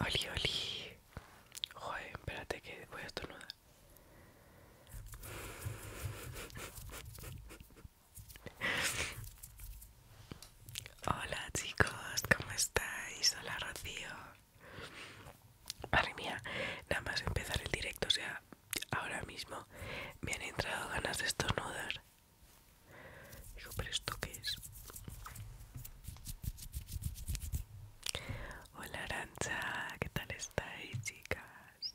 Oli, oli. Joder, espérate que voy a estornudar. Hola chicos, ¿cómo estáis? Hola Rocío. Madre mía, nada más empezar el directo, o sea, ahora mismo me han entrado ganas de estornudar. Digo, pero esto qué es? Hola arancha, ¿qué tal estáis chicas?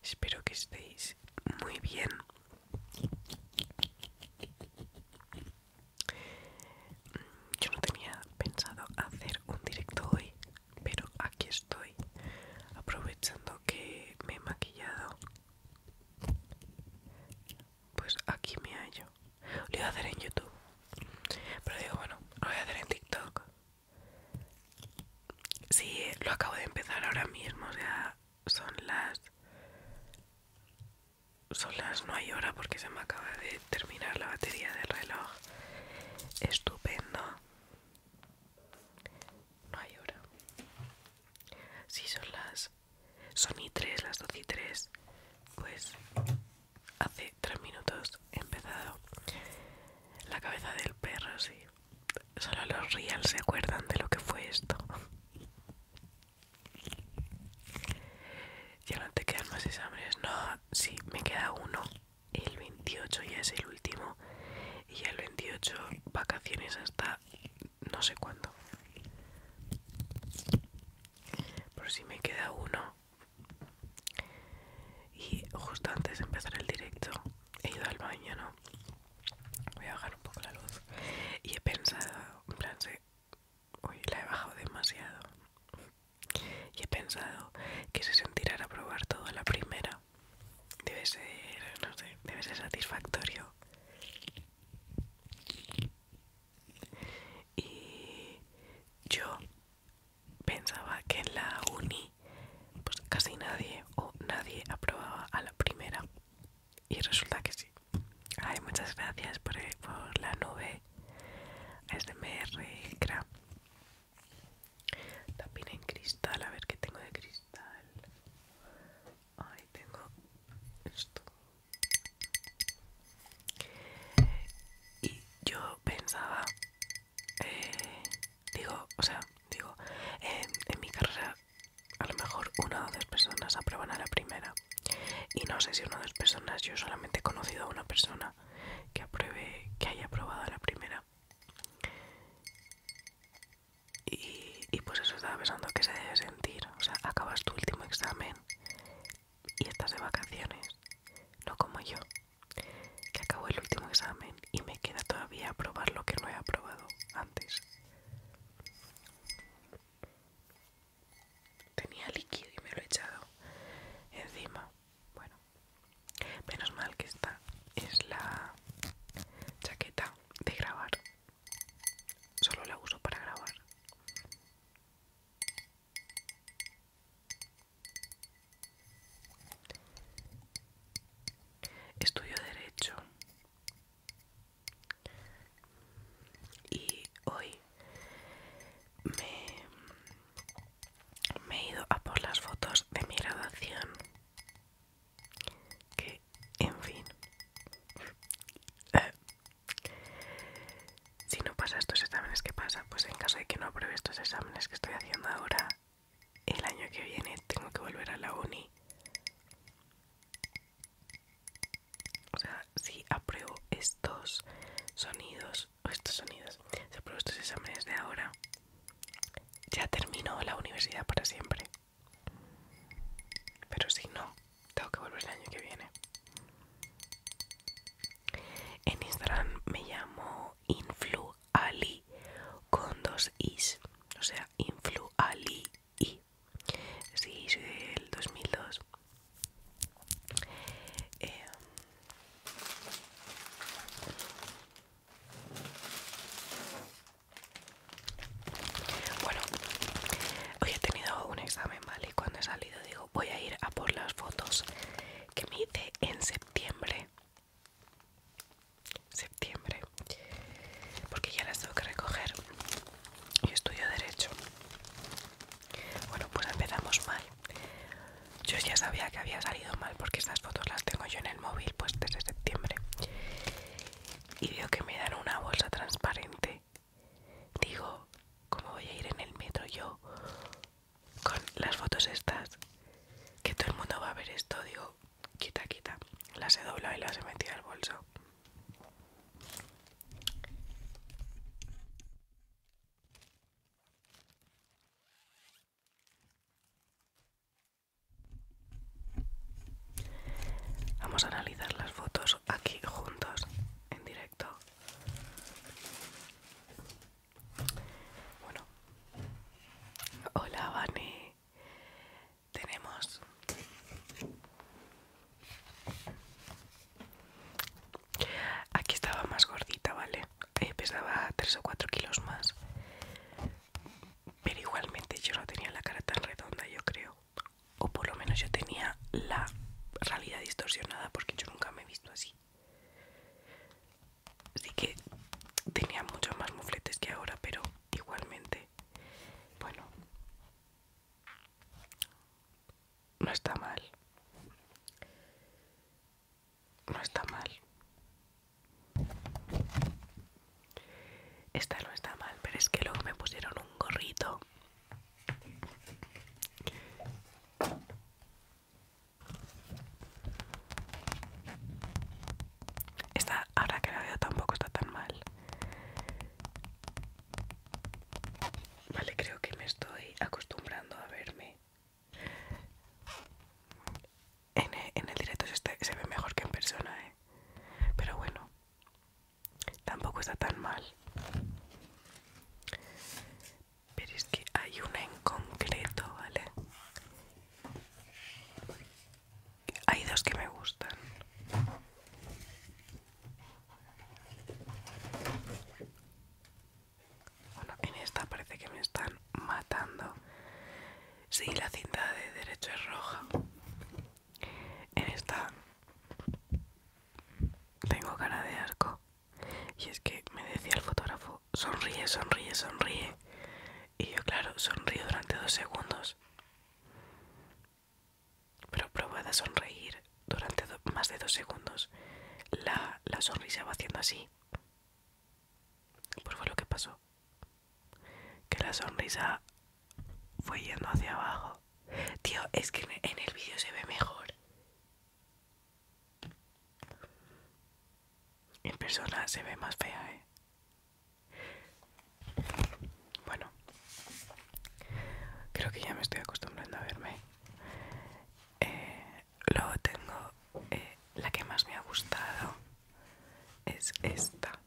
Espero que estéis muy bien. Mm, yo no tenía pensado hacer un directo hoy, pero aquí estoy, aprovechando que me he maquillado pues aquí me hallo. Lo iba a hacer en YouTube, pero digo, bueno, lo voy a hacer en TikTok. Sí, lo acabo de empezar ahora mismo, o sea, son las. Son las no hay hora porque se me acaba de terminar la batería del reloj. Estupendo. No hay hora. Sí, son las son y 3, las doce y 3. Pues hace 3 minutos he empezado. La cabeza del perro, sí. Solo los real se acuerdan de lo que fue esto. Ya no te quedan más exámenes. No, sí, me queda uno. El 28 ya es el último. Y el 28 vacaciones hasta no sé cuándo por si me queda uno y justo antes de empezar el directo he ido al baño no voy a bajar un poco la luz y he pensado en plan uy la he bajado demasiado y he pensado que se sentirá a probar todo la primera debe ser no sé debe ser satisfactorio y yo pensaba que en la uni pues casi nadie o nadie aprobaba a la primera y resulta que sí ay muchas gracias por, eh, la nube SMR Cra también en cristal a ver qué tengo de cristal ay tengo esto y yo pensaba, eh, digo, o sea, digo, en mi carrera a lo mejor una o dos personas aprueban a la primera. Y no sé si una o dos personas, yo solamente he conocido a una persona que apruebe, que haya aprobado a la primera. Y, y pues eso estaba pensando que se debe sentir. O sea, acabas tu último examen y estás de vacaciones, no como yo, que acabo el último examen y me queda todavía probar lo que no he aprobado antes. Tenía líquido y me lo he echado encima. Bueno, menos mal que esta es la chaqueta de grabar. Solo la uso para grabar. Estudio Derecho. Y hoy me, me he ido a por las fotos de mi graduación. Que, en fin, Eh, si no pasa estos exámenes, ¿qué pasa? Pues en caso de que no apruebe estos exámenes que estoy haciendo ahora, el año que viene tengo que volver a la uni. O sea, si apruebo estos sonidos, o estos sonidos, si apruebo estos exámenes de ahora, ya termino la universidad para siempre. Pero si no, tengo que volver el año que viene. En Instagram me llamo Influali con dos is. O sea, Influali. Sí, soy del 2002. Em, bueno, hoy he tenido un examen, ¿vale? Y cuando he salido digo, voy a ir a por las fotos que me hice en septiembre septiembre porque ya las tengo que recoger y estudio derecho bueno pues empezamos mal yo ya sabía que había salido mal porque estas fotos las tengo yo en el móvil pues desde septiembre y veo que me dan una bolsa transparente Digo, como voy a ir en el metro yo con las fotos estas? Que todo el mundo va a ver esto, digo, quita, quita. Las he doblado y las he metido al bolso. Vamos a analizar las fotos aquí juntos en directo. Bueno. Hola, Vane. Tenemos Aquí estaba más gordita, ¿vale? Eh, pesaba 3 o 4 kilos más. Pero igualmente yo no tenía la cara tan redonda, yo creo o por lo menos yo tenía la realidad distorsionada porque yo nunca me he visto así. Así que tenía muchos más mufletes que ahora, pero igualmente, bueno, no está mal. No está mal. Esta no está mal, pero es que luego me pusieron un gorrito esta, ahora que la veo, tampoco está tan mal. Vale, creo que me estoy acostumbrando a verme. En el, directo se ve mejor que en persona, ¿eh? Pero bueno, tampoco está tan mal pero es que hay una en concreto vale hay dos que me gustan bueno, en esta parece que me están matando. Sí, la cinta de derecho es roja. En esta tengo cara de arco Y es que me decía el fotógrafo, sonríe, sonríe, sonríe. Y yo, claro, sonrío durante dos segundos. Pero probada de sonreír durante más de dos segundos. La, la sonrisa va haciendo así. Pues fue lo que pasó. Que la sonrisa fue yendo hacia abajo. Tío, es que en el vídeo se ve mejor. En persona se ve más fea, ¿eh? Bueno, creo que ya me estoy acostumbrando a verme. Eh, luego tengo eh, la que más me ha gustado, es esta.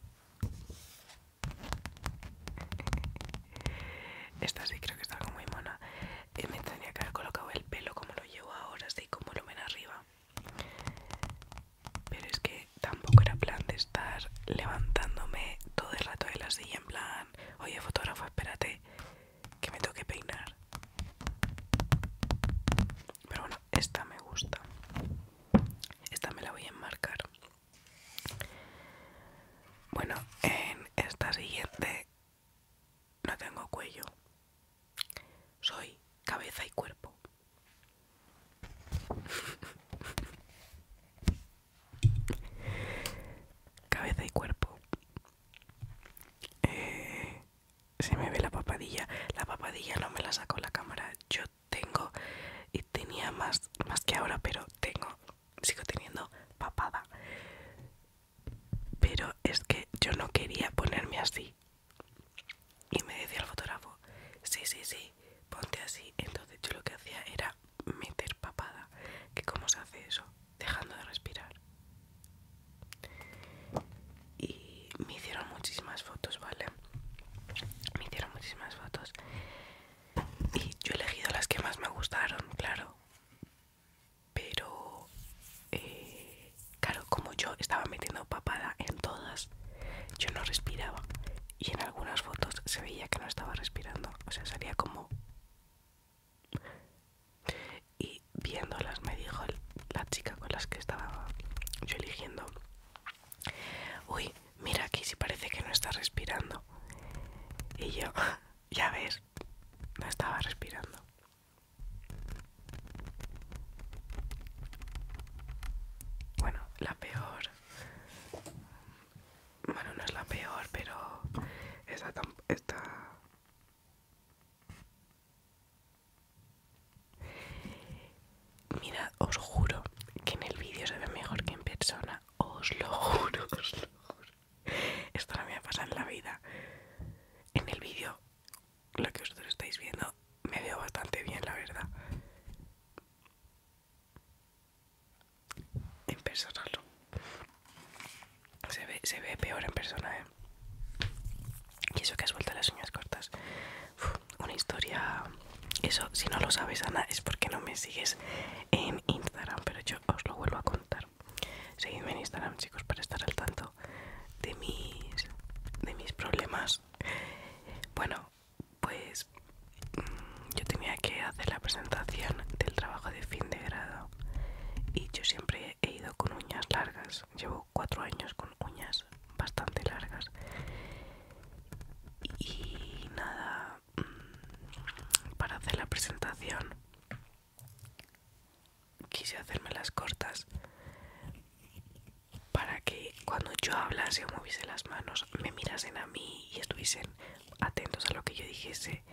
Esta sí creo que está como muy mona. Y eh, me tendría que haber colocado el pelo como lo llevo ahora, así como lo ven arriba. Pero es que tampoco era plan de estar levantándome todo el rato de la silla en plan, oye fotógrafo, espérate, que me toque peinar. Pero bueno, esta me gusta. Esta me la voy a enmarcar. Bueno, en esta siguiente no tengo cuello. Soy cabeza y cuerpo. cabeza y cuerpo. Eh, se me ve la papadilla. La papadilla no me la sacó la cámara. Yo tengo y tenía más, más que ahora, pero tengo sigo teniendo papada. Pero es que yo no quería ponerme así. Y me decía el fotógrafo, sí, sí, sí, ponte así. Entonces yo lo que hacía era meter papada. ¿Que ¿Cómo se hace eso? Dejando de respirar. Y me hicieron muchísimas fotos, ¿vale? Me hicieron muchísimas fotos. Y yo he elegido las que más me gustaron, claro pero eh, claro como yo estaba metiendo papada en todas yo no respiraba y en algunas fotos se veía que no estaba respirando o sea salía como y viéndolas me dijo la chica con las que estaba yo eligiendo uy mira aquí si parece que no está respirando y yo ya ves, no estaba respirando. Bueno, la peor... Bueno, no es la peor, pero esta... Está... Mirad, os juro que en el vídeo se ve mejor que en persona. Os lo juro, os lo juro. Esto no me ha pasado en la vida. En el vídeo, lo que vosotros estáis viendo, me veo bastante bien, la verdad. En persona Se ve, peor en persona, ¿eh? Y eso que has vuelto las uñas cortas. una historia... Eso, si no lo sabes, Ana, es porque no me sigues en Instagram, pero yo os lo vuelvo a contar. Seguidme en Instagram, chicos, para estar al tanto de mis, de mis problemas. Bueno, pues mm, yo tenía que hacer la presentación del trabajo de fin de grado y yo siempre he ido con uñas largas. Llevo cuatro años con uñas bastante largas. Y nada, para hacer la presentación quise hacerme las cortas para que cuando yo hablase o moviese las manos me mirasen a mí y estuviesen atentos a lo que yo dijese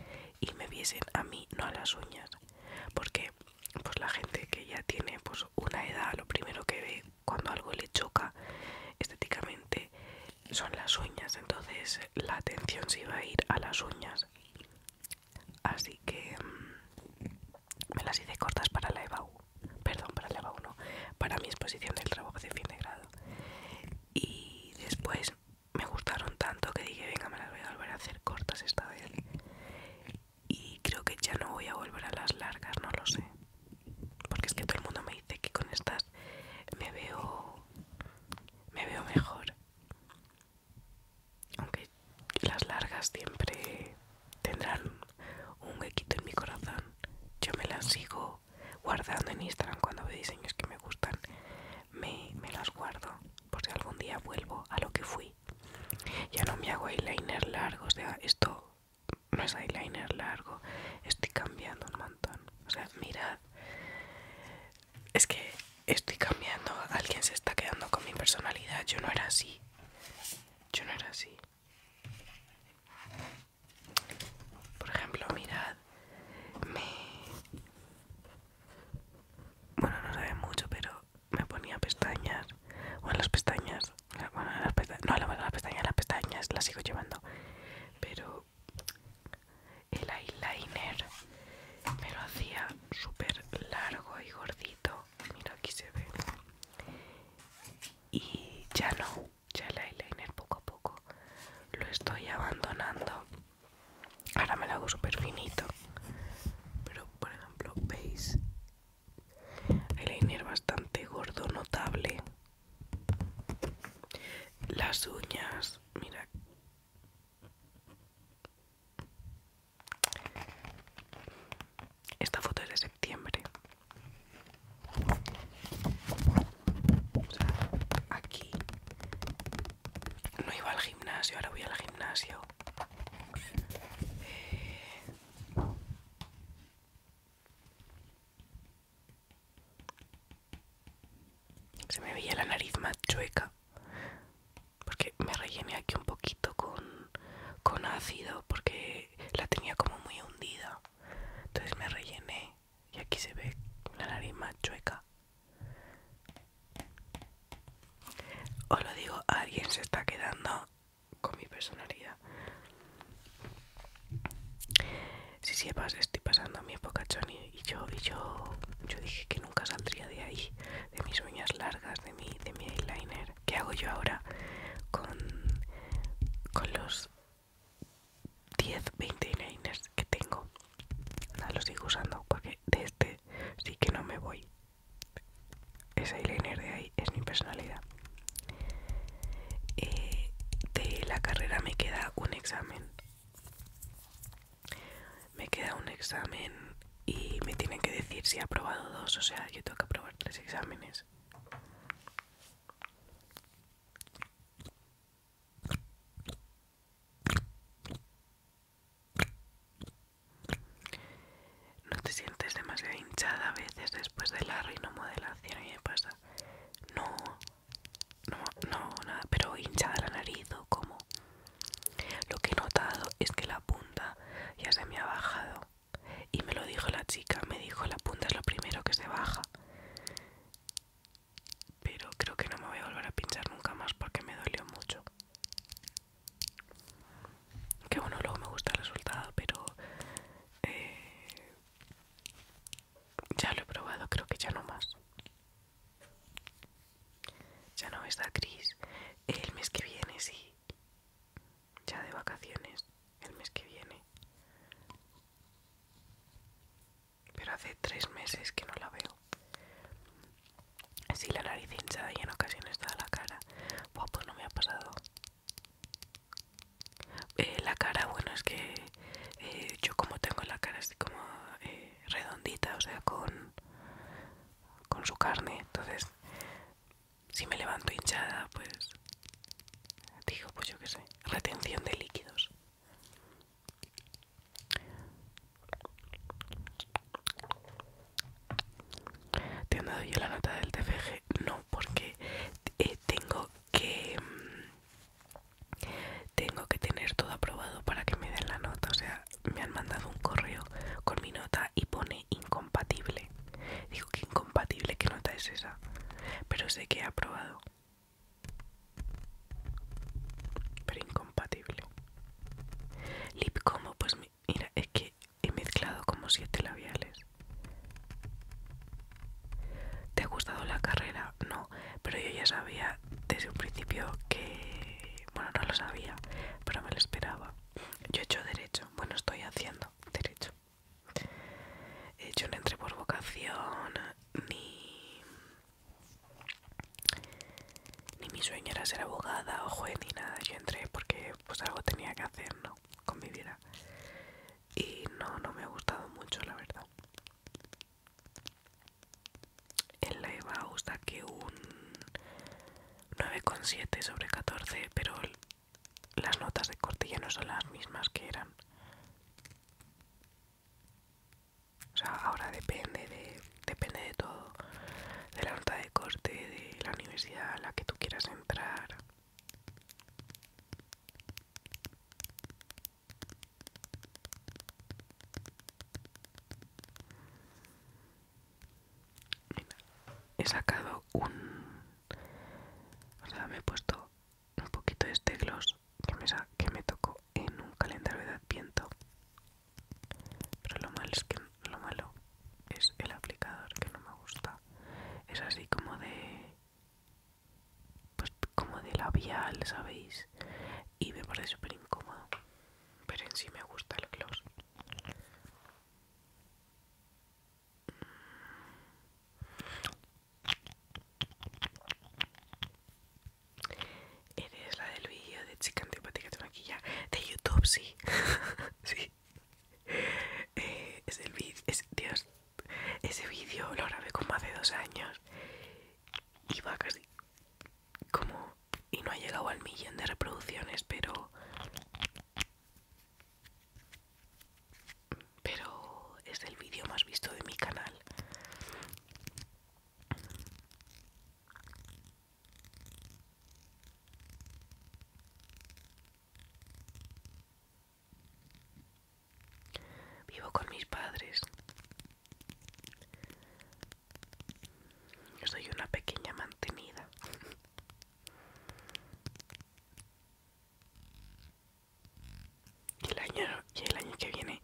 y me viesen a mí, no a las uñas. Porque pues la gente que ya tiene pues una edad, lo primero que ve cuando algo le choca estéticamente son las uñas, entonces la atención se iba a ir a las uñas. Así que mm, me las hice cortas para la EBAU, perdón, para la EBAU no, para mi exposición del trabajo de fin de grado. Y después me gustaron tanto que dije, venga, me las voy a volver a hacer cortas esta vez. Y creo que ya no voy a volver a las largas, no lo sé. Porque es que todo el mundo me dice que con estas me veo me veo mejor aunque las largas siempre tendrán un huequito en mi corazón. Yo me las sigo guardando en Instagram cuando veo diseños que me gustan. Me, me las guardo por si algún día vuelvo a lo que fui. Ya no me hago eyeliner largo, o sea, esto no es eyeliner largo. Estoy cambiando un montón. O sea, mirad es que estoy cambiando, alguien se está quedando con mi personalidad, yo no era así, yo no era así. Por ejemplo, mirad, me... Bueno, no sabe mucho, pero me ponía pestañas, o las pestañas, bueno, las pestañas, no, la las pestañas, las pestañas las sigo llevando, pero el eyeliner me lo hacía súper largo y gordito. Mira, aquí se ve. Y ya no, ya el eyeliner poco a poco lo estoy abandonando. Ahora me lo hago súper finito. Pero, por ejemplo, veis eyeliner bastante gordo, notable. Las uñas, mira, esta foto es de septiembre. aquí no iba al gimnasio, ahora voy al gimnasio. Se me veía la nariz más chueca. Porque me rellené aquí un poquito con, ácido porque la tenía como muy hundida. Entonces me rellené y aquí se ve la nariz más chueca. Os lo digo, alguien se está quedando con mi personalidad. Si sepas, estoy pasando mi época choni y yo yo yo dije que nunca saldría de ahí de mis uñas largas de mi de mi eyeliner qué hago yo ahora con con los 10 20 eyeliners que tengo Nada, los sigo usando porque de este sí que no me voy ese eyeliner de ahí es mi personalidad eh, de la carrera me queda un examen me queda un examen y me tienen que decir si he aprobado dos, o sea, yo tengo que aprobar tres exámenes. No te sientes demasiado hinchada a veces después de la rinomodelación y me pasa. No, no, no, nada, pero hinchada la nariz o como. Lo que he notado es que la punta ya se me ha bajado. Y me lo dijo la chica, me dijo la punta es lo primero que se baja. Pero creo que no me voy a volver a pinchar nunca más porque me dolió mucho. Que bueno, luego me gusta el resultado, pero eh, ya lo he probado, creo que ya no más. Ya no está gris, el mes que viene, sí. Ya de vacaciones, el mes que viene. Pero hace tres meses que no la veo. Sí, la nariz hinchada y en ocasiones está la cara. pues no me ha pasado. Eh, la cara, bueno, es que eh, yo como tengo la cara así como eh, redondita, o sea, con, con su carne. Entonces, si me levanto hinchada, pues digo, pues yo qué sé, retención de líquidos. ¿Te han dado yo la nota del TFG? No, porque eh, tengo que tengo que tener todo aprobado para que me den la nota. O sea, me han mandado un correo con mi nota y pone incompatible. Digo que incompatible, ¿qué nota es esa? Pero sé que he aprobado. Pero incompatible. Lip como, pues mira, es que he mezclado como siete labiales. ¿Te ha gustado la carrera? No, pero yo ya sabía desde un principio que, bueno, no lo sabía, pero me lo esperaba. Yo he hecho derecho, bueno, estoy haciendo derecho. yo no entré por vocación, ni, ni mi sueño era ser abogada o juez ni nada. Yo entré porque pues algo tenía que hacer, ¿no? Con mi vida. Y no, no me ha gustado mucho, la verdad. En la EVA usar que un 9,7 sobre 14 pero las notas de corte ya no son las mismas que eran o sea ahora depende de depende de todo de la nota de corte de la universidad a la que tú quieras entrar he sacado un... O sea, me he puesto un poquito de este gloss que me, que tocó en un calendario de adviento. Pero lo malo es que lo malo es el aplicador que no me gusta. Es así como de... Pues como de labial, ¿sabéis? y me parece súper incómodo pero en sí me gusta el gloss mm. eres la del vídeo de chica antipática de maquilla de youtube sí sí eh, es el vídeo dios ese vídeo lo grabé como hace dos años y va casi como y no ha llegado al millón de reproducciones, pero... Pero es el vídeo más visto de mi canal. Vivo con mis padres. Yo soy una pequeña mantenida. Y el año, y el año que viene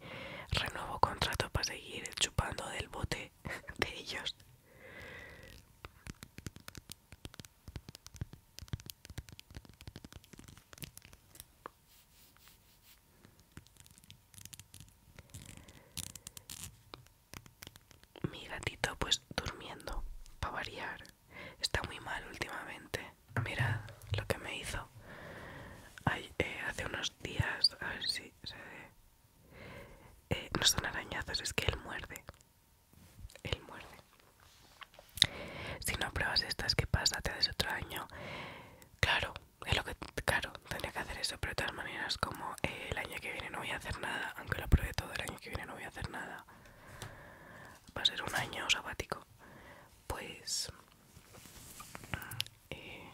renuevo contrato para seguir chupando del bote de ellos. Mi gatito pues durmiendo, para variar. Está muy mal últimamente. Mirad lo que me hizo eh, hace unos días. A ver si se ve. Eh, no son arañazos, es que él muerde. Él muerde. Si no pruebas estas, ¿qué pasa? ¿Te haces otro año? Claro, es lo que, claro, tendría que hacer eso, pero de todas maneras, como eh, el año que viene no voy a hacer nada, aunque lo apruebe todo, el año que viene no voy a hacer nada, va a ser un año sabático, pues eh,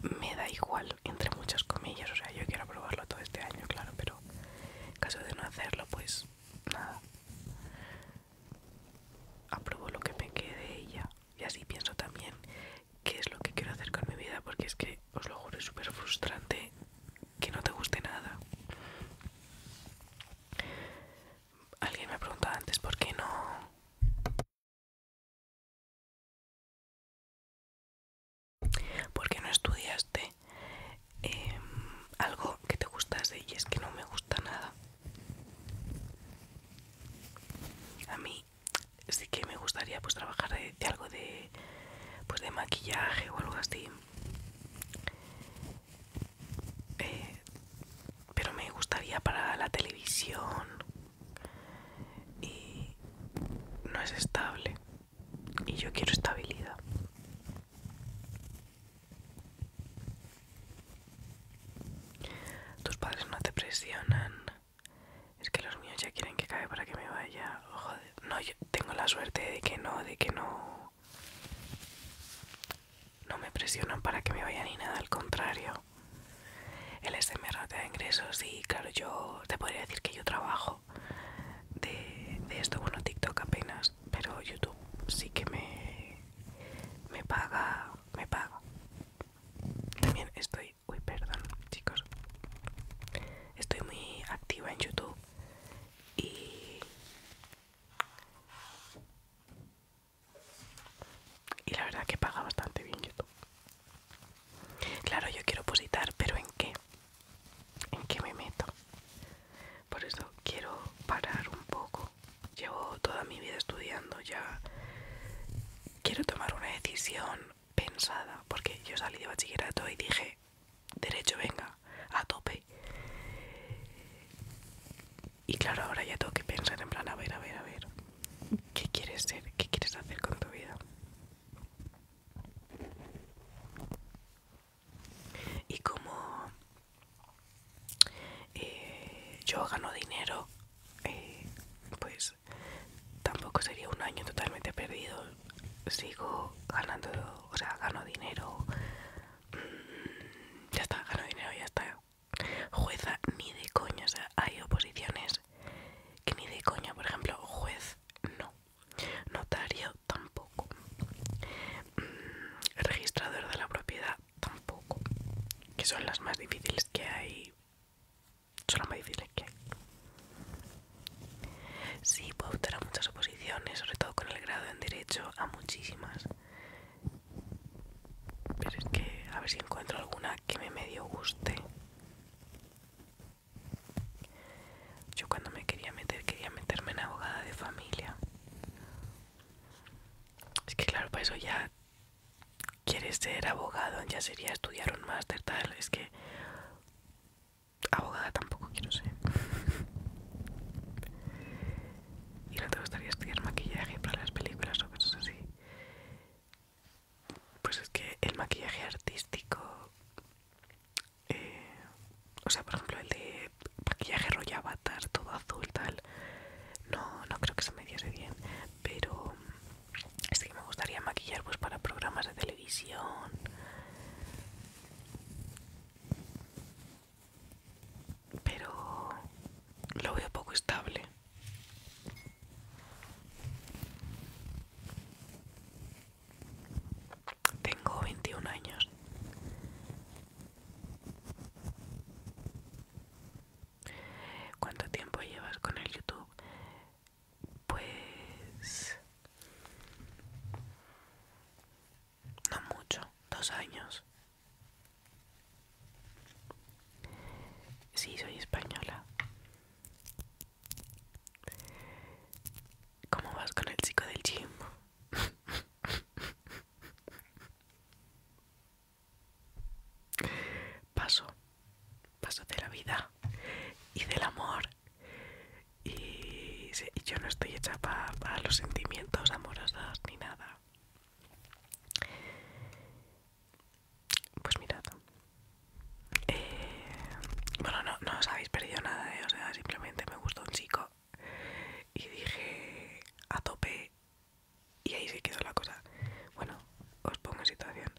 me da igual, entre muchas comillas, o sea, yo quiero probarlo todo este año, claro, pero en caso de no hacerlo, pues nada, Aprobo lo que me quede y ya, y así pienso también qué es lo que quiero hacer con mi vida, porque es que, os lo juro, es súper frustrante que no te guste nada. Alguien me ha preguntado antes por qué no... ¿Por no estudiaste em, algo que te gustase? Y es que no me gusta nada. A mí es que me gustaría pues trabajar de, algo de pues de maquillaje o algo así eh, pero me gustaría para la televisión y no es estable y yo quiero estabilidad tus padres no te presionan es que los míos ya quieren que caiga para que me vaya. Oh, no, yo tengo la suerte de que no, de que no. No me presionan para que me vaya ni nada, al contrario. El SMR te da ingresos y, claro, yo te podría decir que yo trabajo de, de esto. Bueno, TikTok apenas, pero YouTube sí que me, me paga. Me paga. También estoy Uy, perdón, chicos. Estoy muy activa en YouTube y y la verdad que paga bastante bien YouTube. Claro, yo quiero positar, pero ¿en qué? ¿En qué me meto? Por eso quiero parar un poco. Llevo toda mi vida estudiando ya quiero tomar una decisión pensada, porque yo salí de bachillerato y dije, derecho, venga, a tope. Y claro, ahora ya tengo que pensar en plan, a ver, a ver, a ver, ¿qué quieres ser? ¿Qué quieres hacer con tu vida? Y como eh, yo gano dinero, eh, pues tampoco sería un año totalmente perdido. Sigo ganando, o sea, gano dinero. Mm, ya está, gano dinero, ya está. Jueza ni de coña, o sea, hay oposiciones que ni de coña, por ejemplo, juez no. Notario tampoco. Mm, registrador de la propiedad tampoco. Que son las más difíciles que hay Solo me más que Sí, puedo optar a muchas oposiciones, sobre todo con el grado en Derecho, a muchísimas. Pero es que a ver si encuentro alguna que me medio guste. Yo cuando me quería meter, quería meterme en abogada de familia. Es que claro, para eso ya quieres ser abogado, ya sería estudiar un máster, tal. Es que abogada tampoco quiero ser. y no te gustaría estudiar maquillaje para las películas o cosas así. Pues es que el maquillaje artístico, eh, o sea, por ejemplo, el de maquillaje rollo avatar, todo azul, tal, no, no creo que se me diese bien pero mm, es que me gustaría maquillar pues para programas de televisión pero lo veo poco estable tengo 21 años ¿Cuánto tiempo llevas con el YouTube? Pues... No mucho, dos años. Sí, soy española. ¿Cómo vas con el chico del gym? Paso, paso de la vida y del amor. Y, yo no estoy hecha para los sentimientos amorosos ni nada. Pues mirad. Eh, bueno, no, no os habéis perdido nada, ¿eh? o sea, simplemente me gustó un chico y dije a tope y ahí se quedó la cosa. Bueno, os pongo en situación.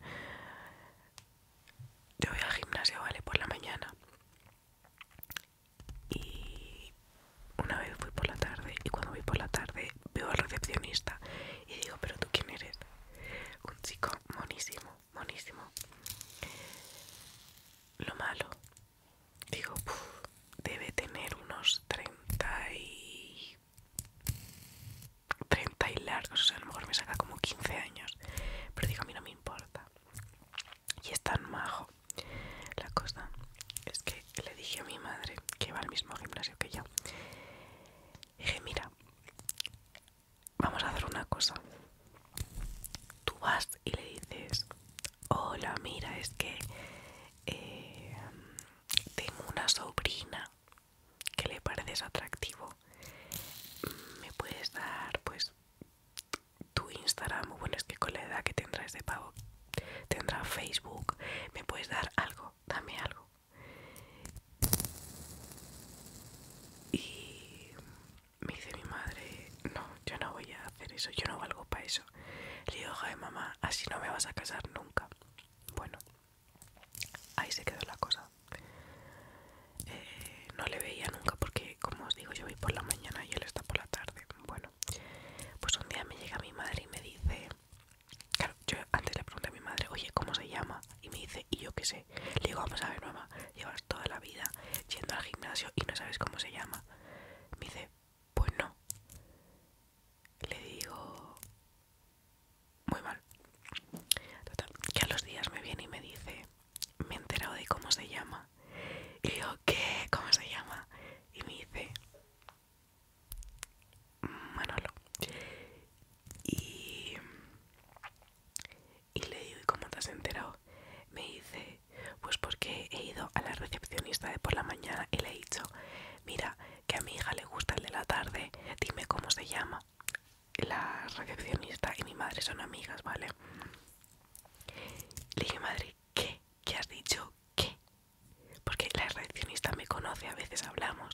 Yo voy al gimnasio, ¿vale? Por la mañana. Y una vez fui por la tarde y cuando voy por la tarde veo al recepcionista y digo, pero tú quién eres? Un chico monísimo, monísimo. Lo malo, digo, debe tener unos 30 y 30 y largos, o sea, a lo mejor me saca como 15 años, pero digo, a mí no me importa. Y es tan majo. La cosa es que le dije a mi madre, que va al mismo gimnasio que yo, dije, mira, vamos a hacer una cosa. Tú vas y le dices, hola, mira, es que eh, tengo una sobrina que le pareces atractivo me puedes dar pues tu Instagram bueno es que con la edad que tendrás de este pago tendrá Facebook me puedes dar algo dame algo y me dice mi madre no yo no voy a hacer eso yo no valgo para eso le digo joder mamá así no me vas a casar nunca bueno Ahí se quedó la cosa. Eh, no le veía nunca porque, como os digo, yo voy por la mañana y él está por la tarde. Bueno, pues un día me llega mi madre y me dice... Claro, yo antes le pregunté a mi madre, oye, ¿cómo se llama? Y me dice, y yo qué sé. Le digo, vamos a ver, mamá, llevas toda la vida yendo al gimnasio y no sabes cómo se llama. Me dice, pues no le digo muy mal. que a los días me viene y me dice, me he enterado de cómo se llama. Y digo, ¿qué? ¿Cómo se llama? Y me dice, Manolo. Y, y le digo, ¿y cómo te has enterado? Me dice, pues porque he ido a la recepcionista de por la mañana y le he dicho, mira, que a mi hija le gusta el de la tarde, dime cómo se llama la recepcionista y mi madre son amigas, ¿vale? Le dije, madre, ¿qué? ¿Qué has dicho? ¿Qué? Porque la recepcionista me conoce, a veces hablamos.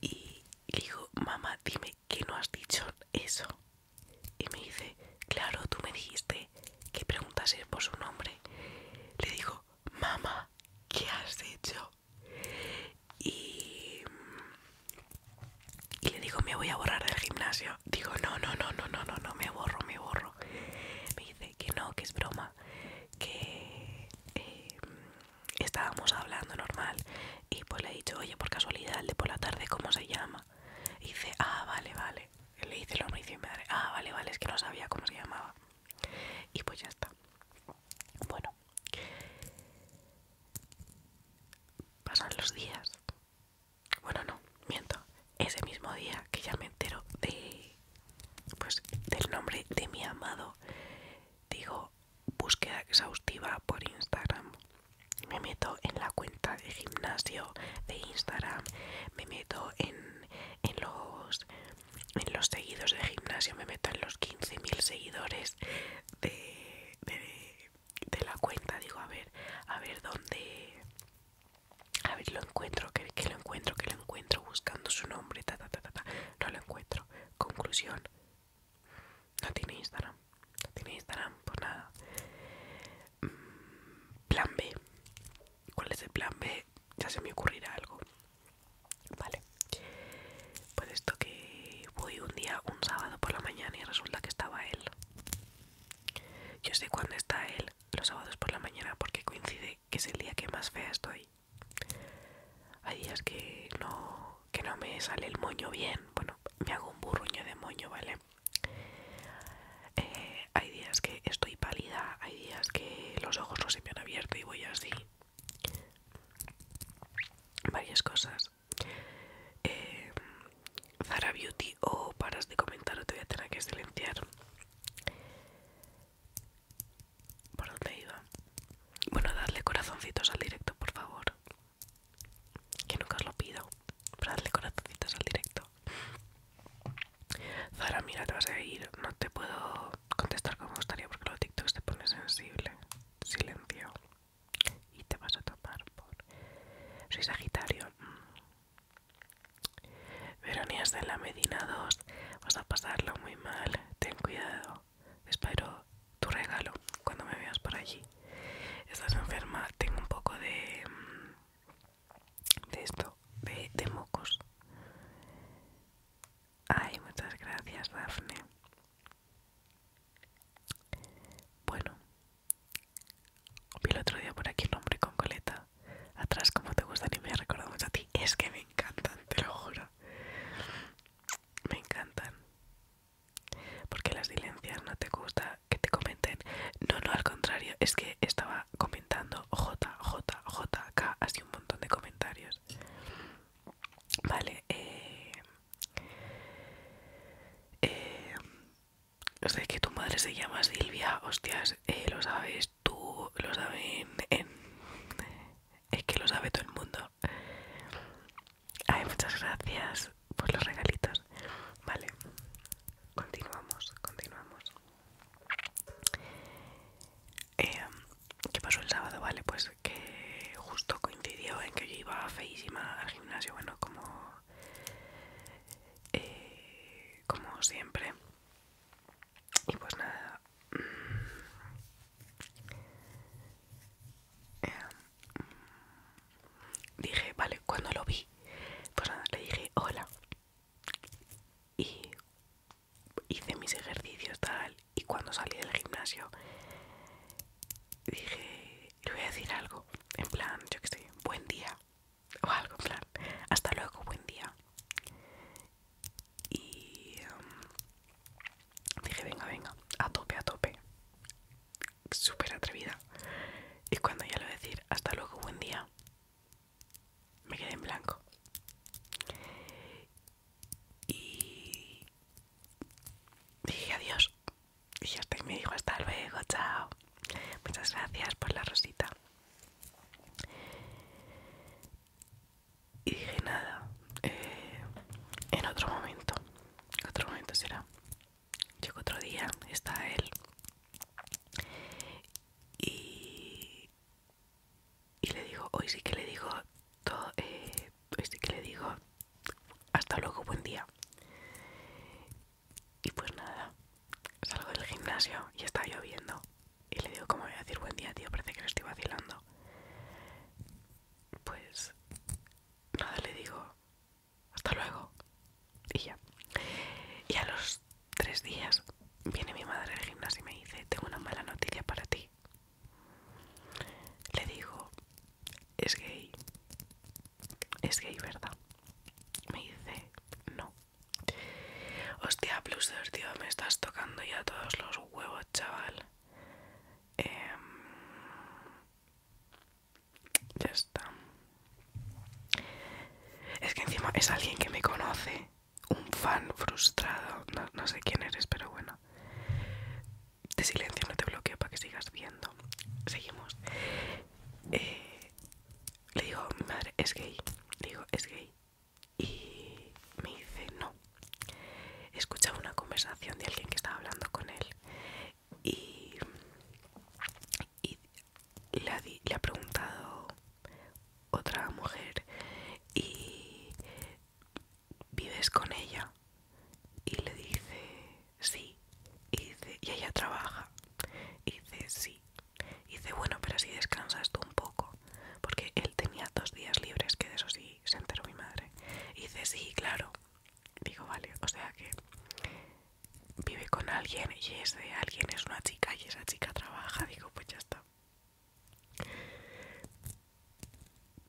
Y le digo, mamá, dime que no has dicho eso. Y me dice, claro, tú me dijiste que preguntas por su nombre. Le digo, mamá, ¿qué has hecho? Y, le digo, me voy a borrar del gimnasio. Digo, no, no, no, no, no, no, no, me borro, me borro. Me dice que no, que es broma, que eh, estábamos hablando normal. Y pues le he dicho, oye, por casualidad, el de por la tarde, ¿cómo se llama? Y dice, ah, vale, vale. Le dice lo hombre y dice, madre, ah, vale, vale, es que no sabía cómo se llamaba. Y pues ya está. Bueno, Pasan los días. Bueno, no, miento. Ese mismo día que ya me entero de pues del nombre de mi amado, digo búsqueda exhaustiva por Instagram. Me meto en la cuenta de gimnasio de Instagram, me meto en, en los en los seguidos de gimnasio me meto en los 15.000 seguidores de, de, la cuenta. Digo, a ver, a ver dónde. A ver, lo encuentro, que, lo encuentro, que lo encuentro, buscando su nombre, ta ta ta ta. No lo encuentro. Conclusión: no tiene Instagram. No tiene Instagram, por nada. Mm, plan B. ¿Cuál es el plan B? Ya se me ocurrirá algo. Vale. Pues esto que voy un día, un sábado por la mañana y resulta que estaba él. Yo sé cuándo está él, los sábados por la mañana, porque coincide que es el día que más fea estoy. Hay días que no, que no me sale el moño bien. Bueno, me hago un burruño de moño, ¿vale? Eh, hay días que estoy pálida, hay días que los ojos no se me han abierto y voy así varias cosas. Eh, Zara Beauty o paras de comentar o te voy a tener que silenciar. ¿Por dónde iba? Bueno, dadle corazoncitos al directo, por favor. Que nunca os lo pido. Pero dadle corazoncitos al directo. Zara, mira, te vas a ir. No te puedo contestar como estaría gustaría porque los tiktok te pone sensible. Silencio. Y te vas a tomar por. Soy Sagitario. Mm. Verónica Veronías de la Medina 2. Vas a pasarlo muy mal. Ten cuidado. Espero tu regalo cuando me veas por allí. Estás enferma. Tengo un poco de. Mm, de esto. de mocos. Ay, muchas gracias, Dafne. Bueno, vi el otro día por aquí un hombre con coleta. Atrás, como te gustan y me ha recordado mucho a ti. Es que me encantan, te lo juro. Me encantan. Porque las silencias no te gusta que te comenten. No, no, al contrario, es que estaba comentando J, J, J, K, así un montón de comentarios. Vale, eh, eh sé que tu madre se llama Silvia, hostias, eh, lo sabes tú, lo saben Es que lo sabe todo el mundo. hay muchas gracias por los regalitos. Vale, continuamos, continuamos. Eh, ¿Qué pasó el sábado? Vale, pues que justo coincidió en que yo iba feísima al gimnasio, bueno, como, eh, como siempre. Y pues nada. Mm, eh, mm, dije, vale, cuando lo vi, pues nada, le dije hola. Y hice mis ejercicios tal y cuando salí del gimnasio dije le voy a decir algo en plan yo que sé buen día o algo en plan hasta luego buen día y em, dije venga venga a tope a tope súper atrevida y cuando ya lo voy a decir hasta luego buen día me quedé en blanco y dije adiós y hasta me dijo hasta luego chao muchas gracias por la rosita y dije nada eh, en otro momento otro momento será llegó otro día está él y y le digo, hoy sí que le digo, todo, eh, sí que le digo, hasta luego, buen día. Y pues nada, salgo del gimnasio y está lloviendo. Y le digo, ¿cómo voy a decir buen día, tío? Parece que lo estoy vacilando. Pues nada, le digo, hasta luego. Y ya. Y a los tres días viene mi madre al gimnasio y me dice, tengo una mala noticia para ti. Le digo, es gay. Es gay, ¿verdad? Me dice, no. Hostia, plus de tío, me estás tocando ya todos los huevos, chaval. Em, ya está. Es que encima es alguien que me conoce. Un fan frustrado. no sé quién eres, pero bueno. De silencio, no te bloqueo para que sigas viendo. Seguimos. Eh, le digo mi madre, es gay. digo, es gay. Y me dice, no. escuchado una conversación de alguien que estaba hablando con él. Y, y le ha preguntado otra mujer. Y ¿vives con ella? Y le dice, sí. Y, dice, y ella trabaja. dice, sí. dice, bueno, pero si descansas tú un poco. Porque él tenía dos días libres, que de eso sí se enteró mi madre. dice, sí, claro. Digo, vale, o sea que vive con alguien y ese alguien es una chica y esa chica trabaja. Digo, pues ya está.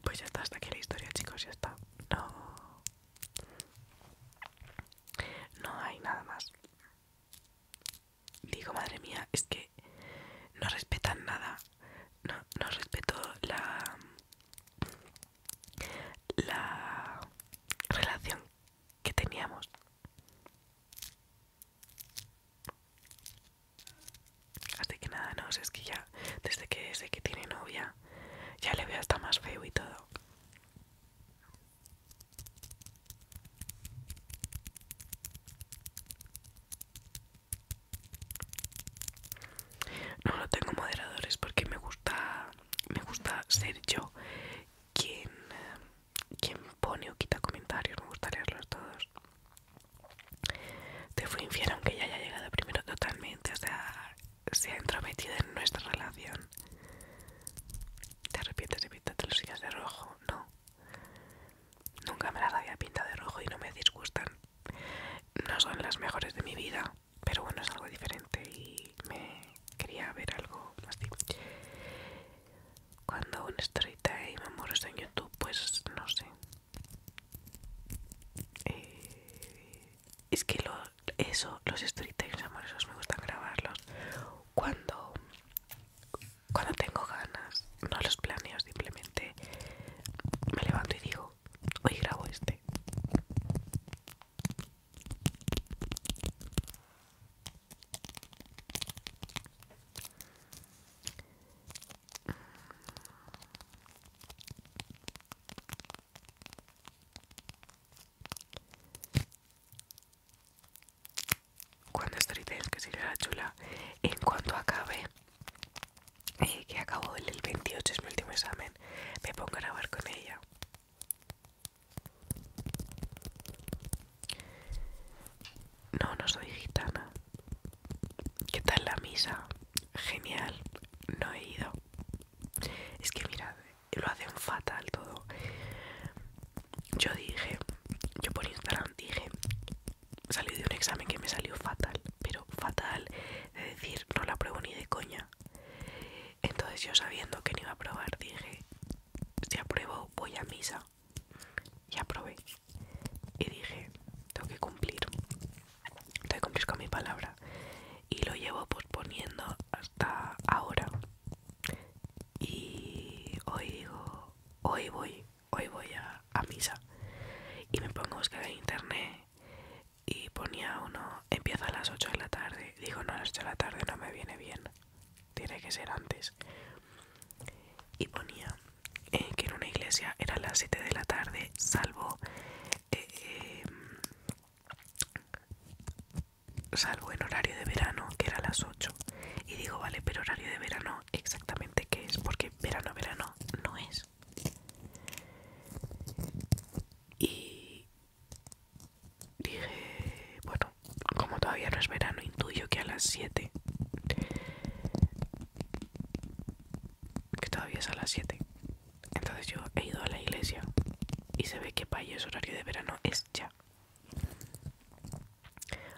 Pues ya está, hasta aquí la historia, chicos, ya está. No. No hay nada más. Digo, madre mía, es que no respetan nada. No, no respeto la. la relación que teníamos. Así que nada, no es que ya desde que sé que tiene novia ya le veo hasta más feo y todo. No, lo tengo moderadores porque me gusta me gusta ser yo quien, quien pone o quita comentarios, me gustaría leerlos todos te fui infiel aunque ya haya llegado primero totalmente o sea se ha entrometido en nuestra relación te arrepientes de pintarte los sillas de rojo no nunca me las había pintado de rojo y no me disgustan no son las mejores de mi vida pero bueno es algo diferente y me quería ver algo tipo. cuando un y me mueres en youtube pues no sé eh, es que eso, los amor, amorosos me gustan grabarlos cuando, cuando tengo ganas, no los planeo, simplemente me levanto y digo, hoy grabo este. Cuando teniendo que ser la chula, en cuanto acabe, eh, que acabo el 28, es mi último examen, me pongo a grabar con ella. No, no soy gitana. ¿Qué tal la misa? Genial, no he ido. Es que mira, lo hacen fatal todo. Yo dije, yo por Instagram dije, salí de un examen que me salió fatal, pero fatal, de decir, no la pruebo ni de coña. Entonces yo sabiendo que no iba a probar, dije, si apruebo voy a misa. Y aprobé y dije, tengo que cumplir, tengo que cumplir con mi palabra y lo llevo posponiendo hasta ahora y hoy digo, hoy voy, hoy voy a, misa y me pongo a buscar en internet y ponía uno, empieza a las 8 de la tarde, digo no a las 8 de la tarde no me viene bien, tiene que ser antes y ponía eh, que en una iglesia era las 7 de la tarde, salvo, eh, eh, salvo en horario de verano, que era las 8. Y digo, vale, pero horario de verano, exactamente qué es, porque verano, verano no es. Y dije, bueno, como todavía no es verano, intuyo que a las 7 que todavía es a las 7. Entonces yo he ido a la iglesia y se ve que para el horario de verano es ya.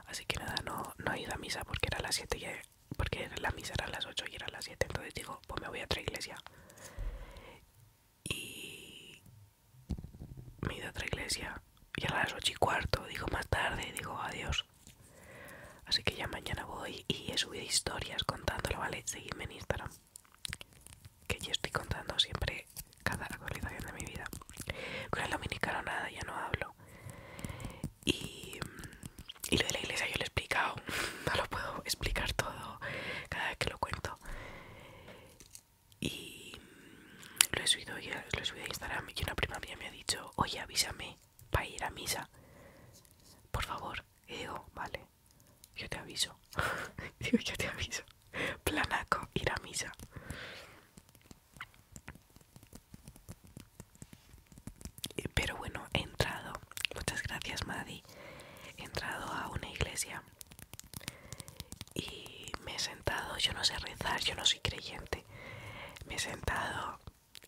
Así que nada, no, he ido a misa porque era a las 7 y porque la misa era a las 8 y era a las 7. Entonces digo, pues me voy a otra iglesia. Y me he ido a otra iglesia. Y a las 8 y cuarto, digo más tarde, digo adiós. Así que ya mañana voy y he subido historias contándolo, ¿vale? Seguidme en Instagram. Que yo estoy contando siempre cada actualización de mi vida. Con el dominicano nada, ya no hablo. Y, lo de la iglesia yo lo he explicado. No lo puedo explicar todo cada vez que lo cuento. Y lo he subido, ya, lo he subido a Instagram y una prima mía me ha dicho, oye avísame para ir a misa. Por favor. digo, vale, yo te aviso. digo, yo te aviso. Planaco, ir a misa. Eh, pero bueno, he entrado, muchas gracias Maddy, he entrado a una iglesia y me he sentado, yo no sé rezar, yo no soy creyente, me he sentado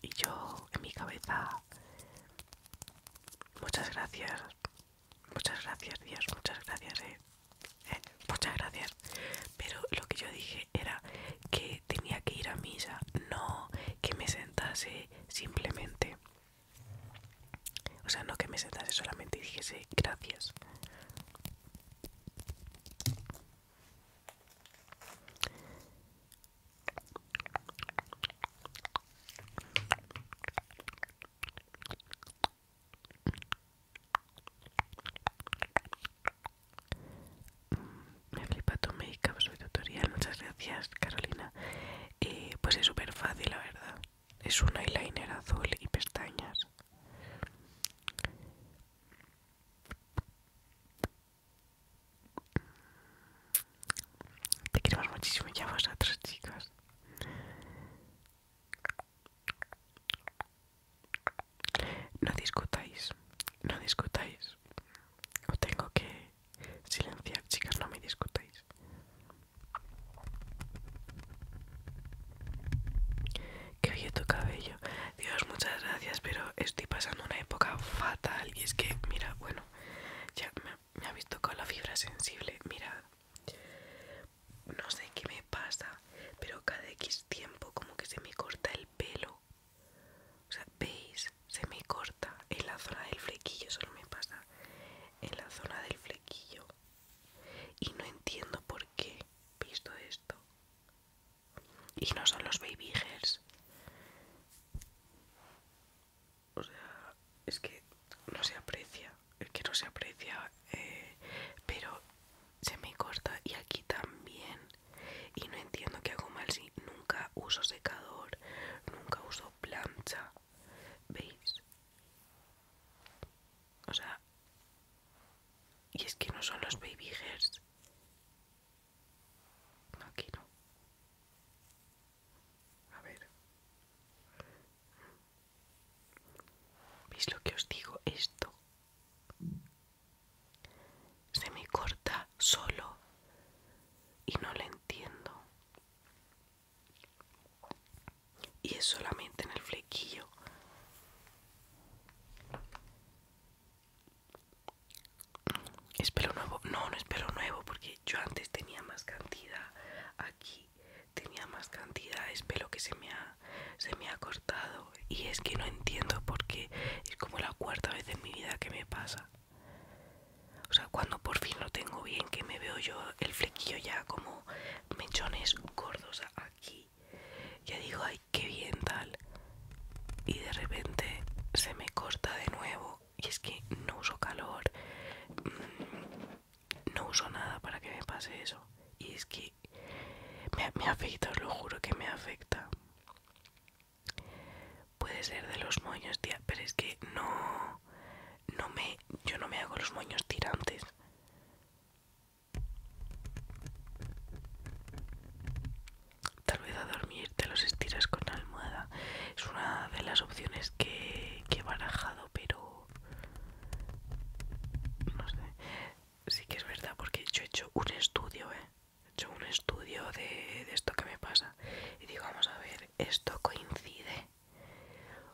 y yo en mi cabeza, muchas gracias, muchas gracias Dios, muchas gracias, eh, eh, muchas gracias. Pero lo que yo dije era que tenía que ir a misa, no que me sentase simplemente. O sea, no que me sentase solamente y dijese gracias. Mm, me flipa tu make soy tutorial, muchas gracias Carolina. Eh, pues es súper fácil, la verdad. Es un eyeliner azul y pestañas. Te queremos muchísimo ya vosotros, chicas No discutáis, no discutáis. Os tengo que silenciar, chicas, no me discutáis. Que oye tu cabello. Dios, muchas gracias, pero estoy pasando una época fatal. Y es que, mira, bueno, ya me, ha visto con la fibra sensible mirad no sé qué me pasa pero cada x tiempo como que se me corta el pelo o sea veis se me corta en la zona del flequillo solo me pasa en la zona del flequillo y no entiendo por qué visto esto y no son los baby hairs o sea, es que no se aprecia, es que no se aprecia, eh, pero se me corta y aquí también. Y no entiendo qué hago mal si nunca uso secador, nunca uso plancha. ¿Veis? O sea, y es que no son los baby hairs. Aquí no. A ver. ¿Veis lo que os digo? Esto se me corta solo y no le entiendo. Y es solamente en el flequillo. Es pelo nuevo. No, no es pelo nuevo porque yo antes tenía más cantidad. Aquí tenía más cantidad. Es pelo que se me ha, cortado. Y es que no entiendo por qué. Es como la cuarta vez en mi vida que me pasa. O sea, cuando por fin lo tengo bien, que me veo yo el flequillo ya como mechones gordos aquí. Ya digo, ay, qué bien tal. Y de repente se me corta de nuevo y es que no uso calor, mm, no uso nada para que me pase eso. Y es que me, afecta, os lo juro que me afecta. Puede ser de los moños, tía, pero es que no, no me, yo no me hago los moños tirantes tal vez a dormir te los estiras con almohada es una de las opciones que, he barajado pero no sé sí que es verdad porque yo he hecho un estudio ¿eh? he hecho un estudio de, de esto que me pasa y digo vamos a ver esto coincide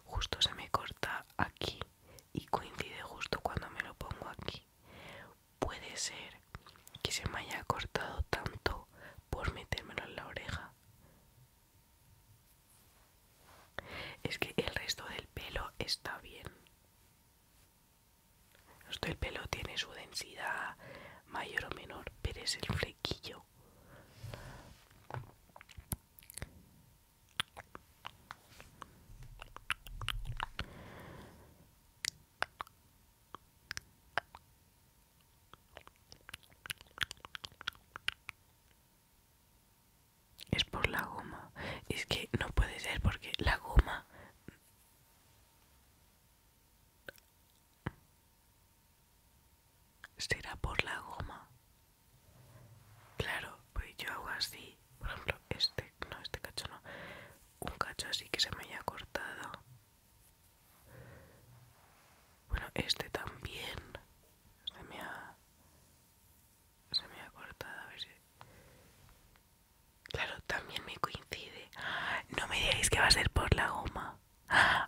justo se me corta aquí y coincide justo cuando me lo pongo aquí puede ser que se me haya cortado tanto por metérmelo en la oreja. Es que el resto del pelo está bien. El pelo tiene su densidad mayor o menor, pero es el flequillo. Es por la goma. Es que no puede ser porque la goma... Será por la goma. Claro, pues yo hago así. Por ejemplo, este, no, este cacho no. Un cacho así que se me haya cortado. Bueno, este también se me ha. Se me ha cortado, a ver si. Claro, también me coincide. No me digáis que va a ser por la goma.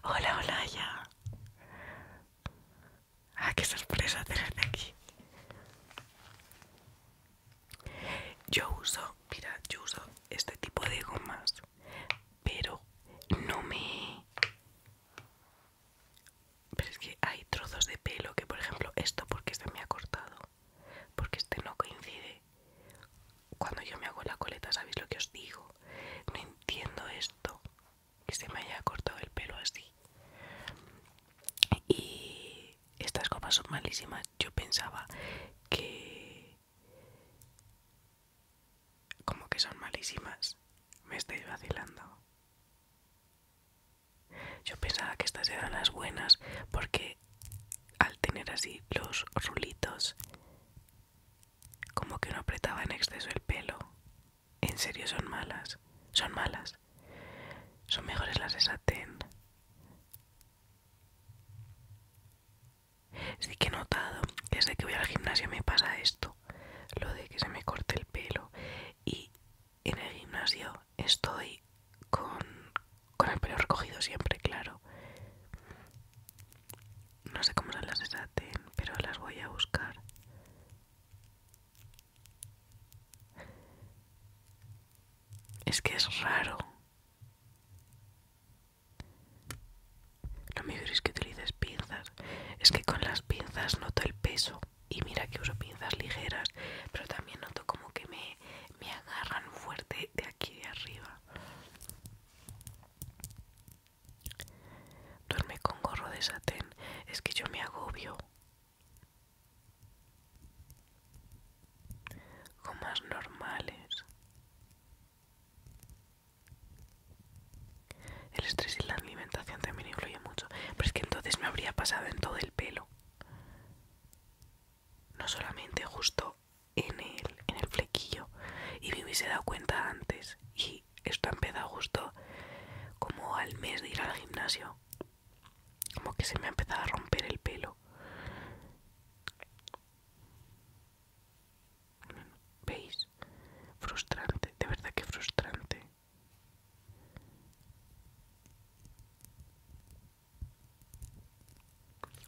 Hola, hola, ya. Ah, qué sorpresa tenerte aquí. Yo uso, mira, yo uso este tipo de gomas pero no me... Pero es que hay trozos de pelo que, por ejemplo, esto porque este me ha cortado, porque este no coincide. Cuando yo me hago la coleta, ¿sabéis lo que os digo? No entiendo esto, que se me haya cortado el pelo así. Y estas copas son malísimas. Yo pensaba que como que son malísimas. Me estoy vacilando. Yo pensaba que estas eran las buenas porque al tener así los rulitos, como que no apretaba en exceso el pelo. En serio son malas. Son malas. Son mejores las de satén. Sí que he notado que desde que voy al gimnasio me pasa esto, lo de que se me corte el pelo y en el gimnasio estoy con, con el pelo recogido siempre, claro. No sé cómo se las desaten, pero las voy a buscar. Es que es raro. Lo mejor es que utilices pinzas. Es que con las pinzas noto el peso. Y mira que uso pinzas ligeras, pero también noto como que me, agarran fuerte de aquí de arriba. Duerme con gorro de satén. Es que yo me agobio. más normales. El estrés y la alimentación también influye mucho. Pero es que entonces me habría pasado en todo el pelo. No solamente justo en el, en el flequillo. Y me hubiese dado cuenta antes. Y esto ha empezado justo como al mes de ir al gimnasio. Como que se me ha empezado a romper el pelo. ¿Veis? Frustrante, de verdad que frustrante.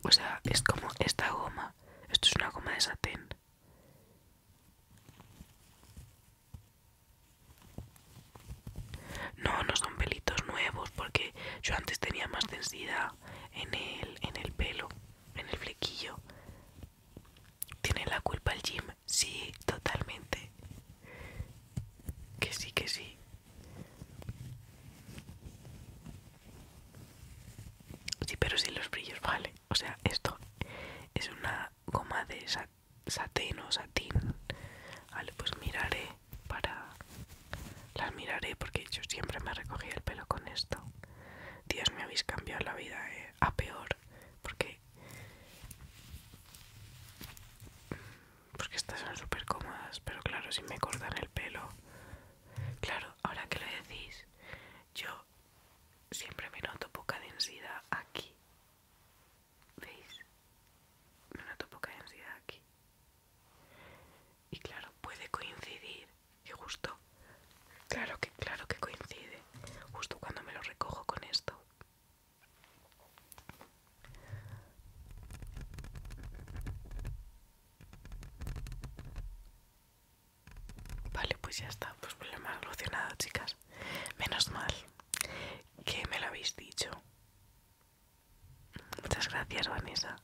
O sea, es como esta goma. Esto es una goma de satén. No, no son pelitos nuevos porque yo antes tenía más densidad en el, en el pelo en el flequillo. ¿Tiene la culpa el gym? Sí, totalmente. Que sí, que sí. Sí, pero sin los brillos, vale. O sea, esto es una goma de satén o satín. Vale, pues miraré para... Las miraré porque yo siempre me recogía el pelo con esto. Dios, me habéis cambiado la vida eh, a peor. Porque, porque estas son súper cómodas, pero claro, si me cortan el pelo. Claro, ahora que lo decís, yo siempre me noto poca densidad aquí. ¿Veis? Me noto poca densidad aquí. Y claro, puede coincidir. Y justo, claro que, claro que coincide. Justo cuando me lo recojo con esto. Vale, pues ya está. Pues problema solucionado, chicas. Menos mal que me lo habéis dicho. Muchas gracias, Vanessa.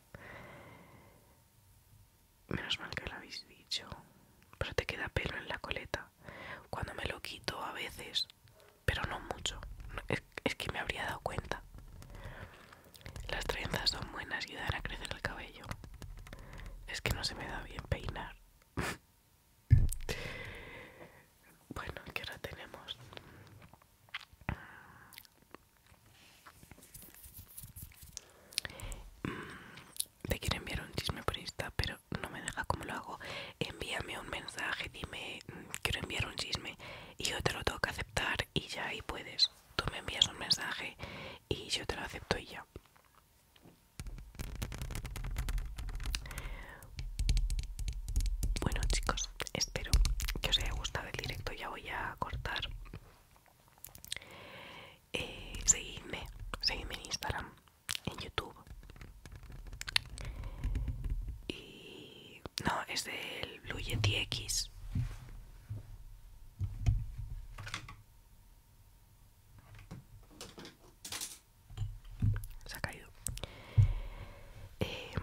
Menos mal que lo habéis dicho. Pero te queda pelo en la coleta. Cuando me lo quito a veces, pero no mucho. Es, que me habría dado cuenta. Las trenzas son buenas y a crecer el cabello. Es que no se me da bien peinar. bueno, ¿qué hora tenemos? Mm, te quiero enviar un chisme por Insta, pero no me deja como lo hago. Envíame un mensaje, dime, mm, quiero enviar un chisme y yo te lo tengo que aceptar y ya ahí puedes. Tú me envías un mensaje y yo te lo acepto y ya. Bueno chicos, espero que os haya gustado el directo. Ya voy a cortar. Eh, seguidme, seguidme en Instagram, en YouTube. Y no, es del Blue Yeti X. Se ha caído. Em,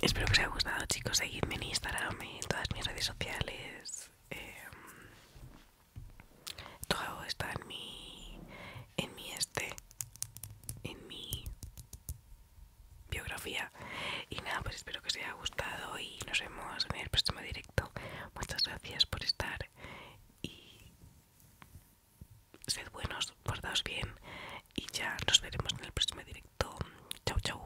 espero que os haya gustado, chicos. Seguidme en Instagram, en todas mis redes sociales. Em, todo está en mi en mi este en mi biografía y nada pues espero que os haya gustado y nos vemos en el próximo directo muchas gracias por estar y sed buenos guardaos bien y ya nos veremos en el próximo directo chau chau